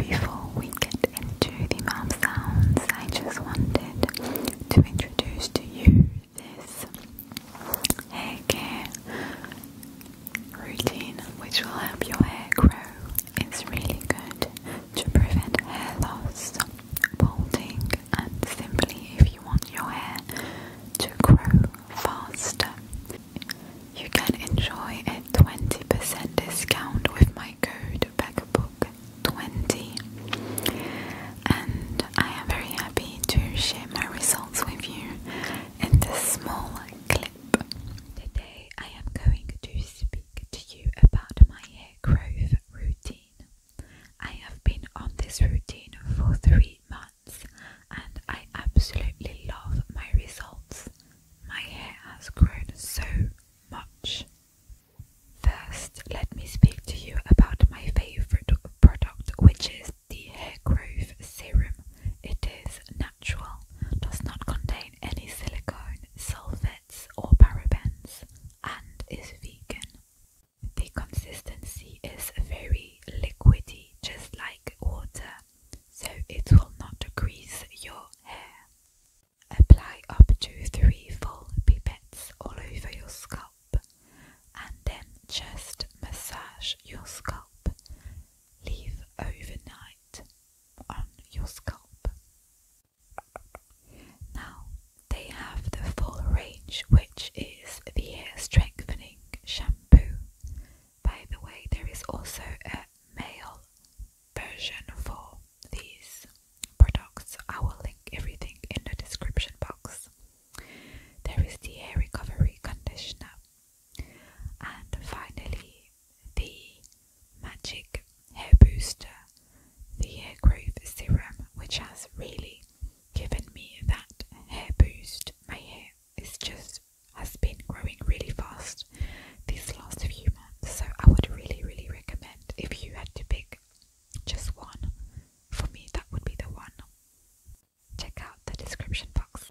Before we get into the mouth sounds, I just wanted to introduce to you this hair care routine which will help your hair grow it's really good to prevent hair loss, balding, and simply if you want your hair to grow faster. You can enjoy a 20% discount with my code BackBook20. And I am very happy to share my results with you in this small clip. Today I am going to speak to you about my hair growth routine. I have been on this routine for three months and I absolutely love my results. My hair has grown so much. First, let me speak to you about my favorite product, which is the Hair Growth Serum. It is natural, does not contain any silicone, own or parabens and is vegan. The consistency is very liquidy, just like water, so it will not grease your hair. Apply up to three full pipettes all over your scalp and then just massage your scalp. Leave overnight on your scalp. Now they have the full range, which is the hair strengthening shampoo. By the way, there is also a male version for these products. I will link everything in the description box. There is the hair recovery conditioner, and finally, the Magic Hair Booster, the Hair Growth Serum, which has really given me that hair boost. My hair is just has been growing really fast this last few months, so I would really, really recommend if you had to pick just one. For me, that would be the one. Check out the description box.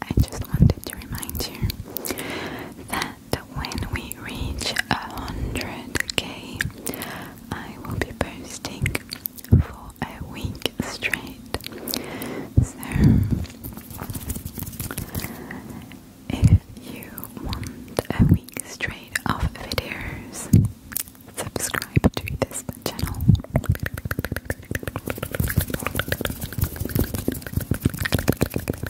I just wanted to remind you that that when we reach 100k, I will be posting for a week straight. So, if you want a week straight of videos, subscribe to this channel.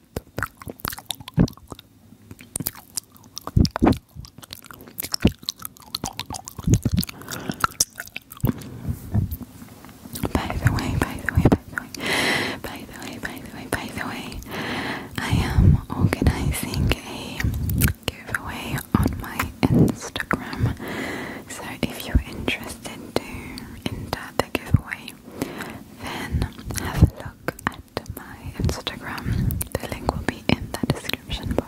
By the way, by the way, by the way, by the way, by the way, by the way, I am organizing a giveaway on my Instagram. So if you're interested to enter the giveaway, then have a look at my Instagram. The link will be in the description box.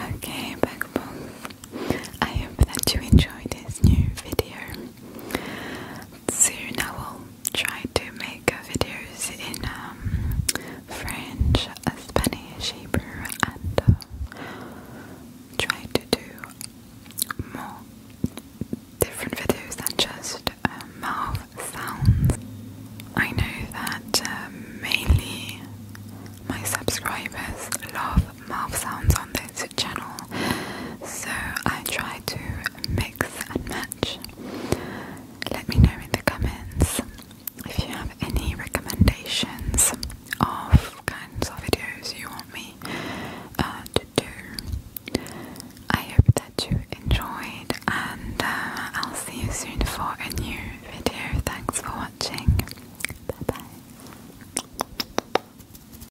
Okay, Bugaboo, I hope that you enjoyed this new video soon I will try to make videos in um, French, Spanish, Hebrew, and uh, try to do more different videos than just um, mouth sounds. I know that um, mainly my subscribers love mouth sounds on this channel, so I try to mix and match. Let me know in the comments if you have any recommendations of kinds of videos you want me uh, to do. I hope that you enjoyed, and uh, I'll see you soon for a new video. Thanks for watching. Bye bye.